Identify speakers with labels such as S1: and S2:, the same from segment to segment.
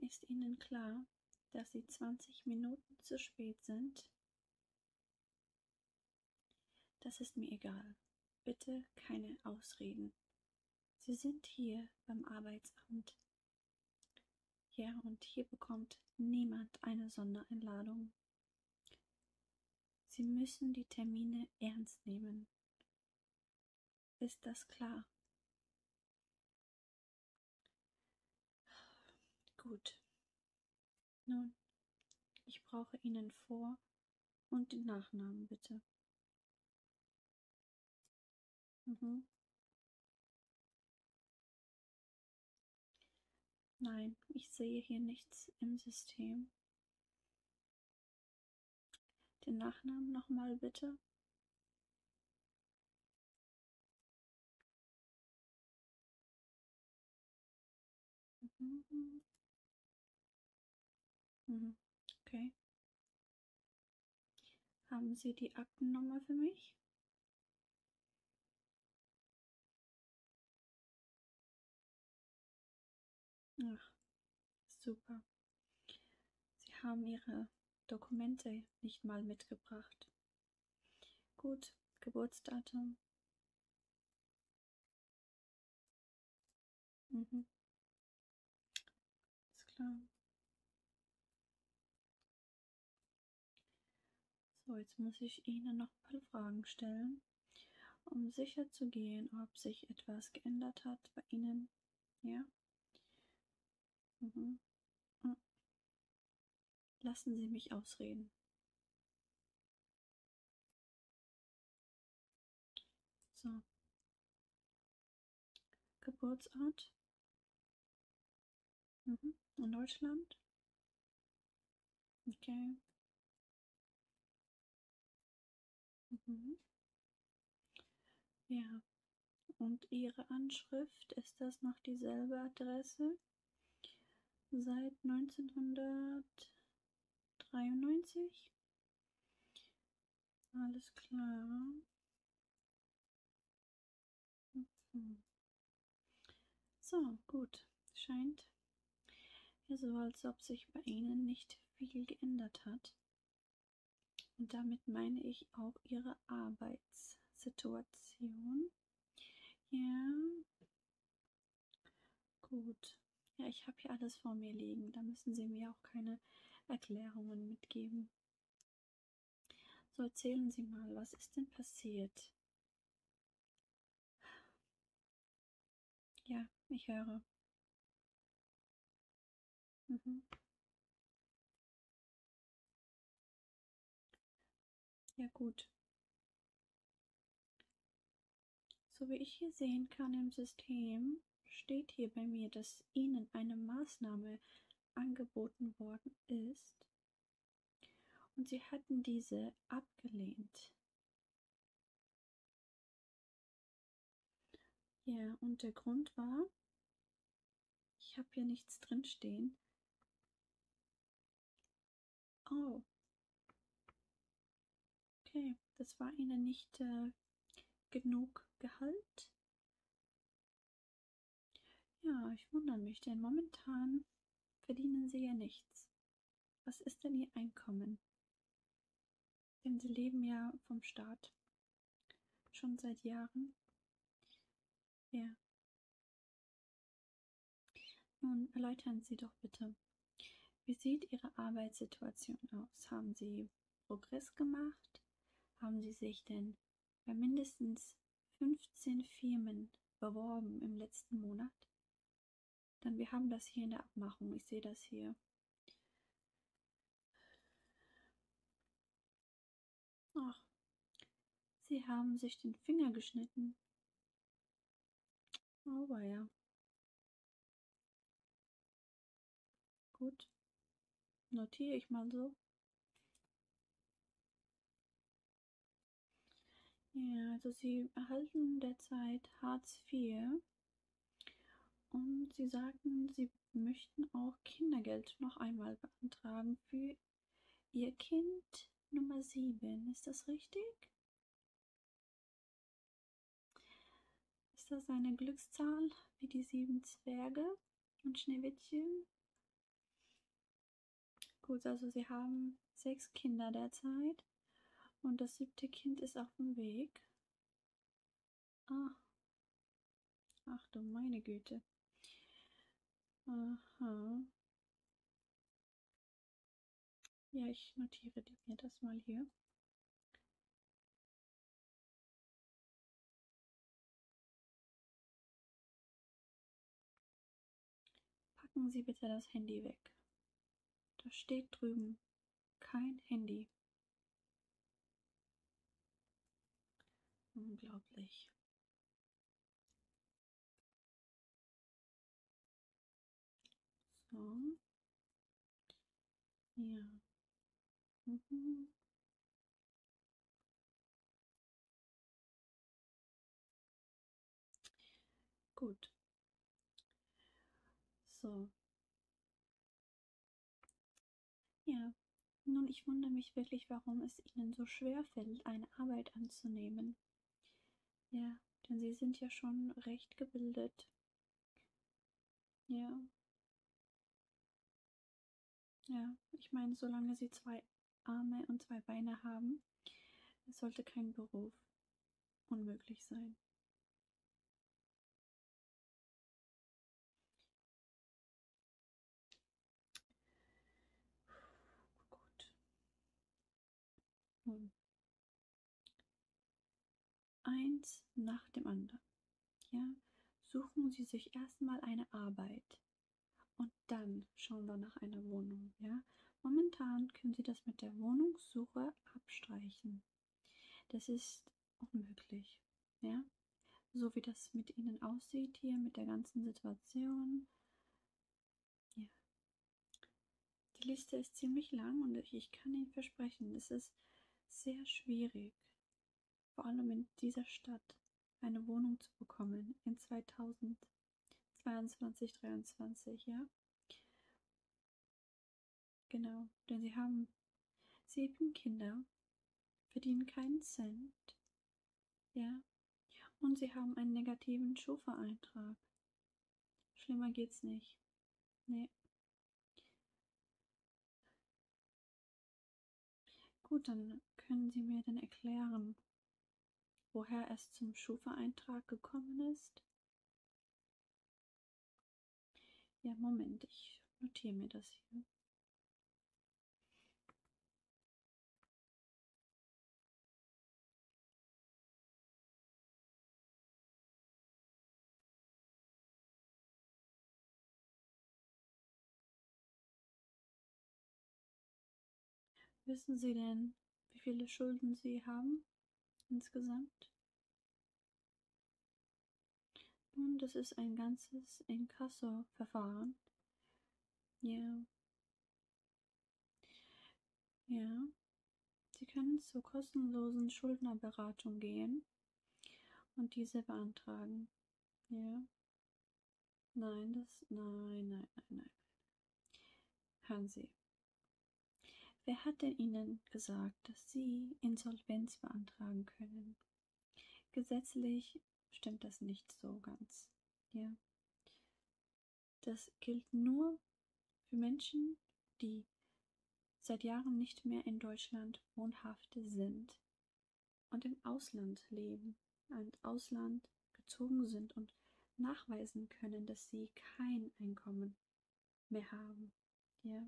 S1: Ist Ihnen
S2: klar, dass Sie 20 Minuten zu spät sind? Das ist mir egal. Bitte keine Ausreden. Sie sind hier beim Arbeitsamt. Ja, und hier bekommt niemand eine Sondereinladung. Sie müssen die Termine ernst nehmen. Ist das klar? Gut. Nun, ich brauche Ihnen Vor- und den Nachnamen bitte. Mhm.
S1: Nein, ich sehe hier nichts im System. Den Nachnamen nochmal bitte. Mhm.
S2: Mhm. Okay. Haben Sie die Aktennummer für mich? Ach, super. Sie haben Ihre Dokumente nicht mal mitgebracht. Gut, Geburtsdatum.
S1: Mhm. Ist klar.
S2: So, jetzt muss ich Ihnen noch ein paar Fragen stellen, um sicher zu gehen, ob sich etwas geändert hat bei Ihnen. Ja? Mhm. Hm. Lassen Sie mich ausreden.
S1: So. Geburtsort? Mhm. In Deutschland? Okay.
S2: Mhm. Ja. Und Ihre Anschrift, ist das noch dieselbe Adresse? Seit 1993? Alles klar. Mhm. So, gut. Scheint ja so, als ob sich bei Ihnen nicht viel geändert hat. Und damit meine ich auch Ihre Arbeitssituation. Ja. Gut. Ja, ich habe hier alles vor mir liegen. Da müssen Sie mir auch keine Erklärungen mitgeben. Frau. So erzählen Sie mal, was ist denn passiert?
S1: Ja, ich höre. Mhm. Ja gut.
S2: So wie ich hier sehen kann im System, steht hier bei mir, dass Ihnen eine Maßnahme angeboten worden ist und Sie hatten diese abgelehnt. Ja, und der Grund war, ich habe hier nichts drin stehen. Oh. Okay, das war Ihnen nicht äh, genug Gehalt ja, ich wundere mich, denn momentan verdienen sie ja nichts. Was ist denn ihr Einkommen? Denn sie leben ja vom Staat. Schon seit Jahren. Ja. Nun erläutern Sie doch bitte. Wie sieht Ihre Arbeitssituation aus? Haben Sie Progress gemacht? Haben Sie sich denn bei mindestens 15 Firmen beworben im letzten Monat? Dann wir haben das hier in der Abmachung. Ich sehe das hier. Ach, Sie haben sich den Finger geschnitten. Aber ja. Gut. Notiere ich mal so. Ja, also sie erhalten derzeit Hartz IV und sie sagten, sie möchten auch Kindergeld noch einmal beantragen für ihr Kind Nummer 7. Ist das richtig? Ist das eine Glückszahl wie die sieben Zwerge und Schneewittchen? Gut, also sie haben sechs Kinder derzeit und das siebte Kind ist auf dem Weg. Ah. Ach du meine Güte. Aha. Ja, ich notiere mir das mal hier. Packen Sie bitte das Handy weg. Da steht drüben kein Handy. Unglaublich.
S1: So. Ja. Mhm.
S2: Gut. So. Ja. Nun, ich wundere mich wirklich, warum es Ihnen so schwer fällt, eine Arbeit anzunehmen. Ja, denn Sie sind ja schon recht gebildet. Ja. Ja, ich meine, solange sie zwei Arme und zwei Beine haben, sollte kein Beruf unmöglich sein. Gut. Nun, eins nach dem anderen. Ja? Suchen Sie sich erstmal eine Arbeit und dann schauen wir nach einer Wohnung. Ja? Momentan können Sie das mit der Wohnungssuche abstreichen. Das ist unmöglich. Ja? So wie das mit Ihnen aussieht hier, mit der ganzen Situation. Ja. Die Liste ist ziemlich lang und ich kann Ihnen versprechen, es ist sehr schwierig vor allem in dieser Stadt, eine Wohnung zu bekommen in 2022, 23, ja? Genau, denn sie haben sieben Kinder, verdienen keinen Cent, ja? Und sie haben einen negativen Schufa-Eintrag. Schlimmer geht's nicht. Nee. Gut, dann können Sie mir denn erklären, woher es zum Schufa-Eintrag gekommen ist? Ja, Moment, ich notiere mir das hier. Wissen Sie denn, wie viele Schulden Sie haben insgesamt? Nun, das ist ein ganzes Inkasso-Verfahren. Ja. Ja. Sie können zur kostenlosen Schuldnerberatung gehen und diese beantragen. Ja. Nein, das. Nein, nein, nein, nein. Hören Sie. Wer hat denn Ihnen gesagt, dass Sie Insolvenz beantragen können? Gesetzlich stimmt das nicht so ganz. Ja. Das gilt nur für Menschen, die seit Jahren nicht mehr in Deutschland wohnhaft sind und im Ausland leben, ins Ausland gezogen sind und nachweisen können, dass sie kein Einkommen mehr haben. Ja,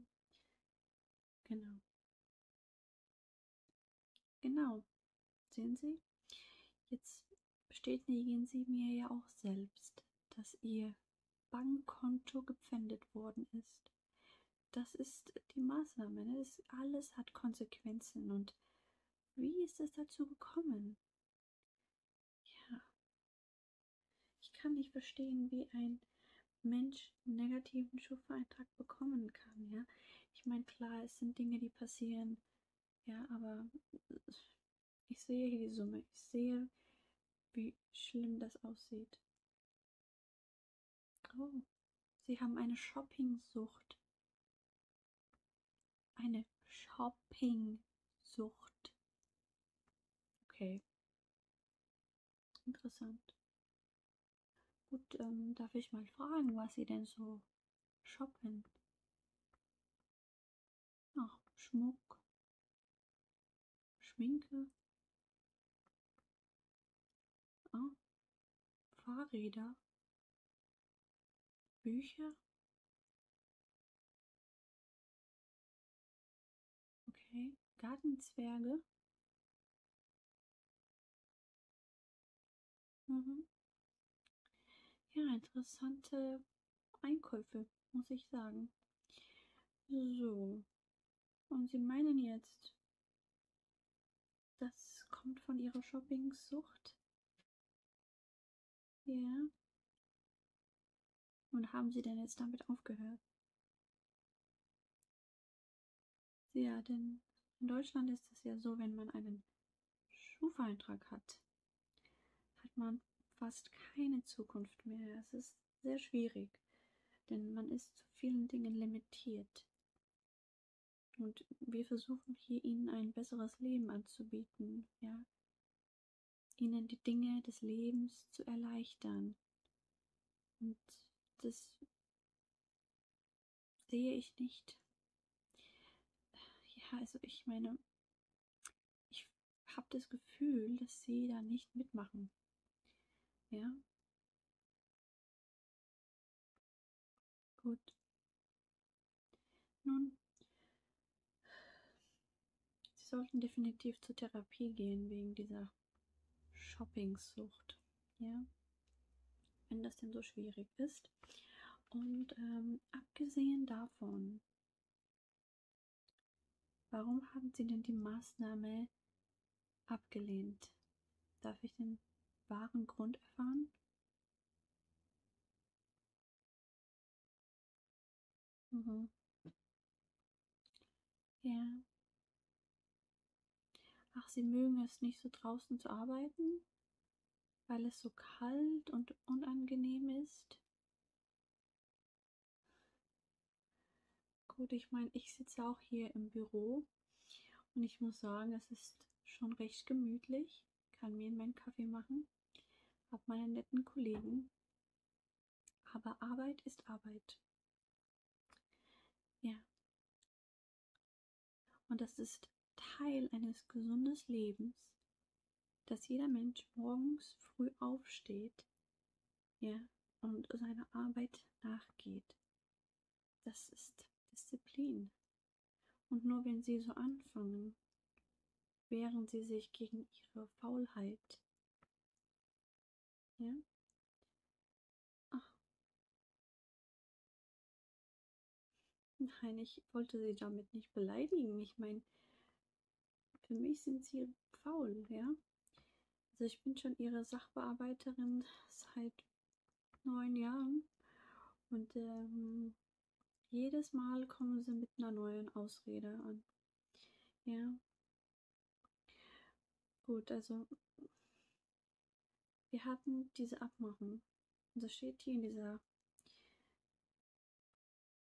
S2: genau. Genau. Sehen Sie? Jetzt bestätigen Sie mir ja auch selbst, dass Ihr Bankkonto gepfändet worden ist. Das ist die Maßnahme. Ne? Das alles hat Konsequenzen. Und wie ist es dazu gekommen? Ja. Ich kann nicht verstehen, wie ein Mensch einen negativen Schufa-Eintrag bekommen kann. Ja? Ich meine, klar, es sind Dinge, die passieren. Ja, aber ich sehe hier die Summe. Ich sehe, wie schlimm das aussieht. Oh, Sie haben eine Shoppingsucht. Eine Shoppingsucht. Okay. Interessant. Gut, ähm, darf ich mal fragen, was Sie denn so shoppen? Ach, Schmuck, Schminke,
S1: ah, Fahrräder, Bücher. Okay, Gartenzwerge.
S2: Mhm. Ja, interessante Einkäufe, muss ich sagen. So, und sie meinen jetzt, das kommt von ihrer Shopping-Sucht? Ja. Yeah. Und haben sie denn jetzt damit aufgehört? Ja, denn in Deutschland ist es ja so, wenn man einen Schufa-Eintrag hat, hat man fast keine Zukunft mehr. Es ist sehr schwierig, denn man ist zu vielen Dingen limitiert. Und wir versuchen hier ihnen ein besseres Leben anzubieten, ja. Ihnen die Dinge des Lebens zu erleichtern. Und das sehe ich nicht. Ja, also ich meine, ich habe das Gefühl, dass sie da nicht mitmachen. Ja, Gut. Nun, Sie sollten definitiv zur Therapie gehen wegen dieser Shoppingsucht. Ja? Wenn das denn so schwierig ist. Und ähm, abgesehen davon Warum haben Sie denn die Maßnahme abgelehnt? Darf ich den wahren Grund erfahren? Mhm. Ja. Ach, Sie mögen es nicht so draußen zu arbeiten, weil es so kalt und unangenehm ist. Gut, ich meine, ich sitze auch hier im Büro und ich muss sagen, es ist schon recht gemütlich. Kann mir meinen Kaffee machen, habe meine netten Kollegen. Aber Arbeit ist Arbeit. Ja. Und das ist Teil eines gesunden Lebens, dass jeder Mensch morgens früh aufsteht, ja, und seiner Arbeit nachgeht. Das ist Disziplin. Und nur wenn sie so anfangen, wehren sie sich gegen ihre Faulheit. Ja? Ach. Nein, ich wollte sie damit nicht beleidigen. Ich meine, für mich sind sie faul, ja? Also ich bin schon ihre Sachbearbeiterin seit neun Jahren und ähm, jedes Mal kommen sie mit einer neuen Ausrede an. Ja. Gut, also wir hatten diese Abmachung. Und also, das steht hier in dieser.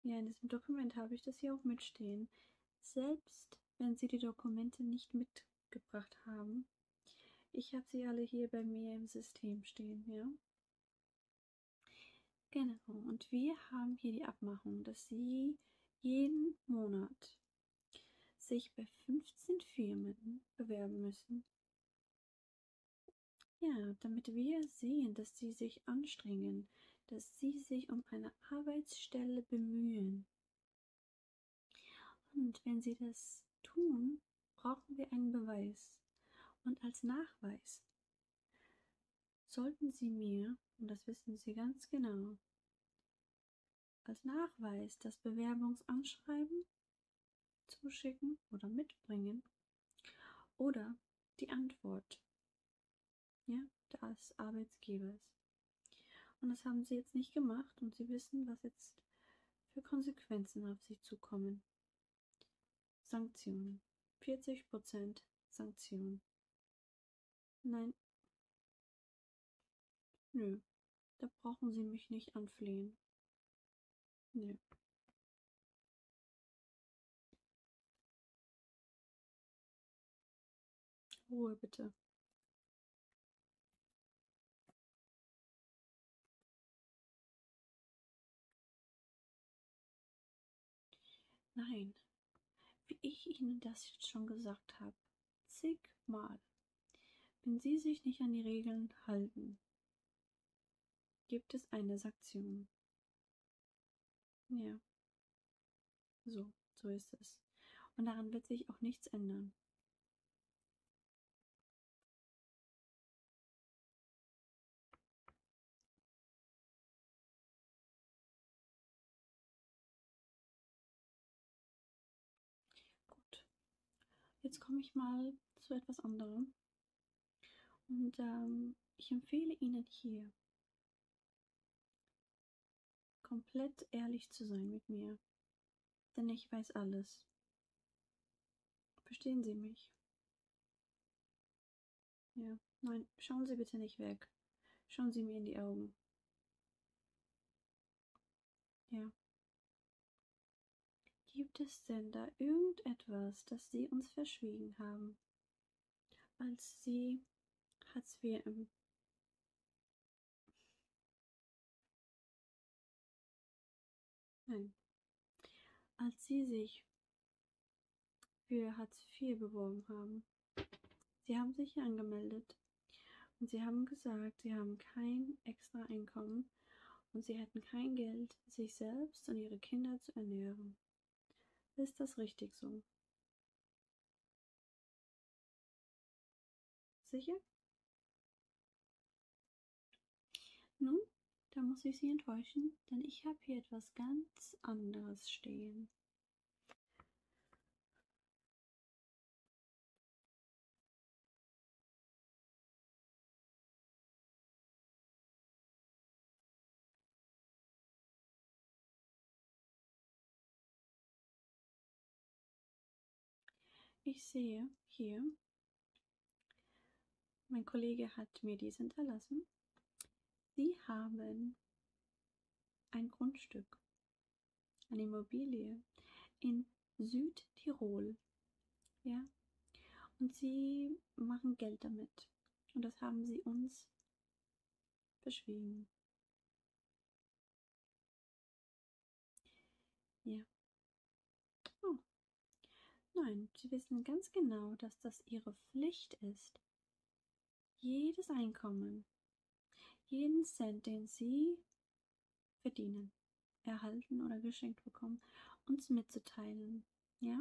S2: Ja, in diesem Dokument habe ich das hier auch mitstehen selbst wenn Sie die Dokumente nicht mitgebracht haben. Ich habe sie alle hier bei mir im System stehen, ja. Genau, und wir haben hier die Abmachung, dass Sie jeden Monat sich bei 15 Firmen bewerben müssen. Ja, damit wir sehen, dass Sie sich anstrengen, dass Sie sich um eine Arbeitsstelle bemühen. Und wenn sie das tun, brauchen wir einen Beweis. Und als Nachweis sollten sie mir, und das wissen sie ganz genau, als Nachweis das Bewerbungsanschreiben zuschicken oder mitbringen oder die Antwort ja, des Arbeitgebers. Und das haben sie jetzt nicht gemacht und sie wissen, was jetzt für Konsequenzen auf sie zukommen. Sanktionen. 40% Sanktionen. Nein. Nö. Da brauchen sie
S1: mich nicht anflehen. Nö. Ruhe bitte. Nein,
S2: wie ich Ihnen das jetzt schon gesagt habe, zigmal. Wenn Sie sich nicht an die Regeln halten, gibt es eine Sanktion. Ja. So, so ist es. Und daran wird sich auch nichts ändern. Gut. Jetzt komme ich mal zu etwas anderem. Und ähm, ich empfehle Ihnen hier komplett ehrlich zu sein mit mir, denn ich weiß alles. Verstehen Sie mich? Ja, nein, schauen Sie bitte nicht weg. Schauen Sie mir in die Augen. Ja. Gibt es denn da irgendetwas, das Sie uns verschwiegen haben? als sie, als wir im ähm, Nein. Als sie sich für Hartz IV beworben haben. Sie haben sich hier angemeldet und sie haben gesagt, sie haben kein extra Einkommen und sie hätten kein Geld, sich selbst und ihre Kinder zu ernähren. Ist das richtig so? Sicher? Nun, da muss ich Sie enttäuschen, denn ich habe hier etwas ganz anderes stehen. Ich sehe hier, mein Kollege hat mir dies hinterlassen. Sie haben ein Grundstück, eine Immobilie in Südtirol. Ja? Und sie machen Geld damit. Und das haben sie uns beschwiegen. Ja. Oh. Nein, sie wissen ganz genau, dass das ihre Pflicht ist. Jedes Einkommen, jeden Cent, den sie verdienen, erhalten oder geschenkt bekommen, uns mitzuteilen. Ja,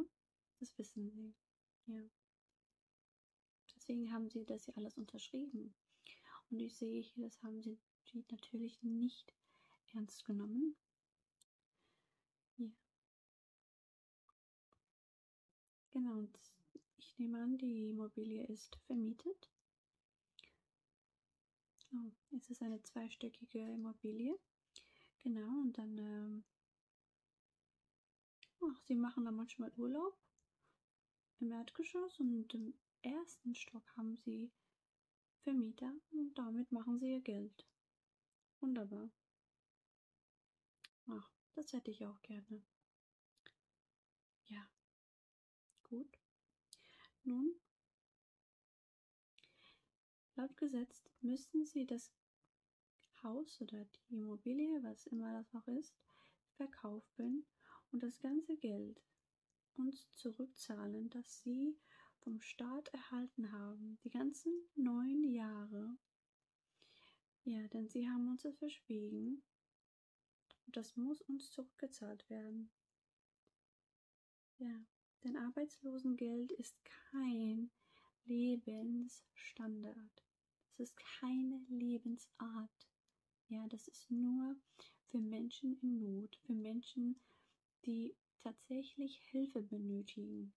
S2: das wissen sie. Ja. Deswegen haben sie das ja alles unterschrieben. Und ich sehe hier, das haben sie natürlich nicht ernst genommen. Hier. Genau, und ich nehme an, die Immobilie ist vermietet. Oh, es ist eine zweistöckige Immobilie. Genau, und dann ähm, Ach, sie machen da manchmal Urlaub im Erdgeschoss und im ersten Stock haben sie Vermieter und damit machen sie ihr Geld. Wunderbar. Ach, das hätte ich auch gerne. Ja. Gut. Nun, laut Gesetz müssen sie das Haus oder die Immobilie, was immer das auch ist, verkaufen und das ganze Geld uns zurückzahlen, das sie vom Staat erhalten haben, die ganzen neun Jahre. Ja, denn sie haben uns das verschwiegen und das muss uns zurückgezahlt werden. Ja, denn Arbeitslosengeld ist kein Lebensstandard. Es ist keine Lebensart. Ja, das ist nur für Menschen in Not, für Menschen, die tatsächlich Hilfe benötigen.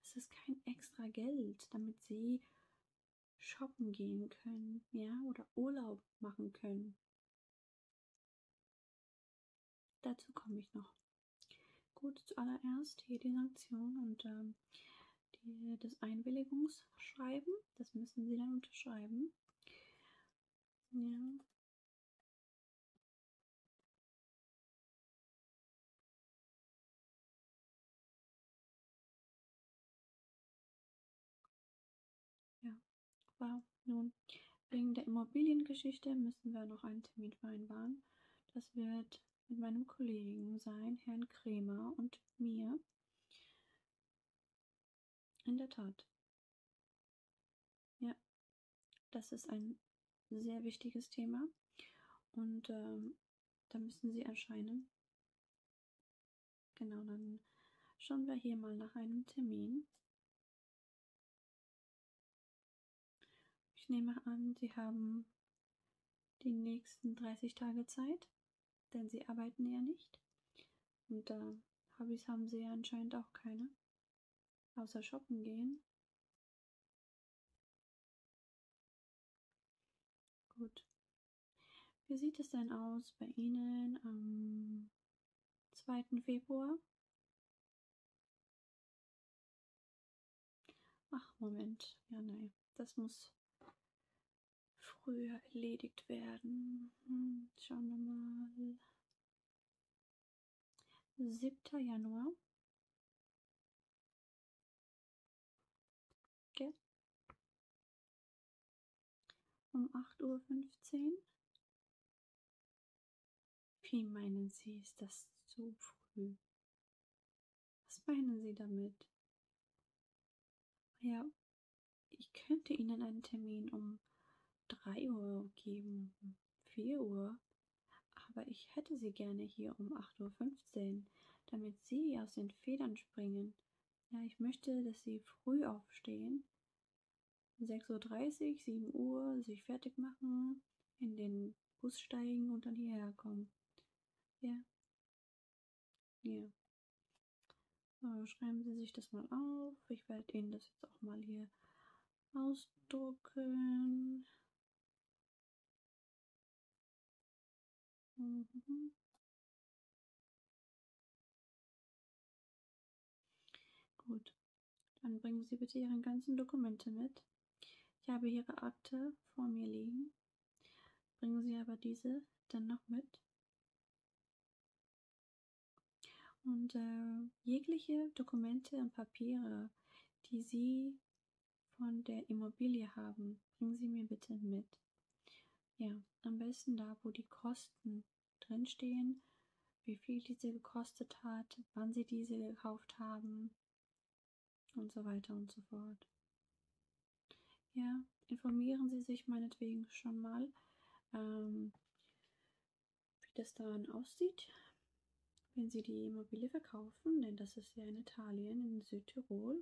S2: Das ist kein extra Geld, damit sie shoppen gehen können, ja, oder Urlaub machen können. Dazu komme ich noch. Gut, zuallererst hier die Sanktion und ähm, die, das Einwilligungsschreiben. Das müssen sie dann unterschreiben. Ja. Ja, wow. Nun, wegen der Immobiliengeschichte müssen wir noch einen Termin vereinbaren. Das wird mit meinem Kollegen sein, Herrn Kremer und mir. In der Tat. Ja, das ist ein sehr wichtiges Thema und ähm, da müssen Sie erscheinen. Genau, dann schauen wir hier mal nach einem Termin. Ich nehme an, Sie haben die nächsten 30 Tage Zeit denn sie arbeiten ja nicht. Und äh, Hobbys haben sie ja anscheinend auch keine. Außer shoppen gehen. Gut. Wie sieht es denn aus bei Ihnen am 2. Februar? Ach, Moment. Ja, nein. Das muss früher erledigt werden. Hm, schauen wir mal. 7. Januar. Okay. Um 8.15 Uhr. Wie meinen Sie, ist das zu früh? Was meinen Sie damit? Ja, ich könnte Ihnen einen Termin um 3 Uhr geben, um 4 Uhr, aber ich hätte Sie gerne hier um 8.15 Uhr, damit Sie aus den Federn springen. Ja, ich möchte, dass Sie früh aufstehen, 6.30 Uhr, 7 Uhr, sich fertig machen, in den Bus steigen und dann hierher kommen. Ja, ja. So, schreiben Sie sich das mal auf. Ich werde Ihnen das jetzt auch mal hier ausdrucken.
S1: Mhm.
S2: Gut, dann bringen Sie bitte Ihre ganzen Dokumente mit. Ich habe Ihre Akte vor mir liegen. Bringen Sie aber diese dann noch mit. Und äh, jegliche Dokumente und Papiere, die Sie von der Immobilie haben, bringen Sie mir bitte mit. Ja, am besten da, wo die Kosten drinstehen, wie viel diese gekostet hat, wann Sie diese gekauft haben und so weiter und so fort. Ja, informieren Sie sich meinetwegen schon mal, ähm, wie das dann aussieht, wenn Sie die Immobilie verkaufen, denn das ist ja in Italien, in Südtirol.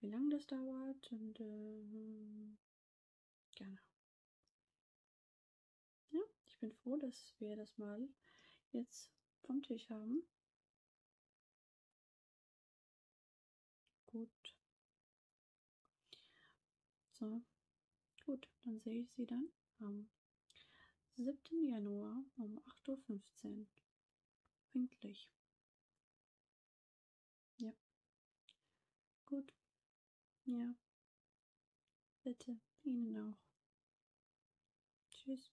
S2: Wie lange das dauert und äh, genau. Ja, ich bin froh, dass wir das
S1: mal jetzt vom Tisch haben.
S2: Gut. So, gut, dann sehe ich Sie dann am 7. Januar um 8.15 Uhr. Pünktlich. Ja.
S1: Gut. Ja. Bitte, Ihnen auch. Tschüss.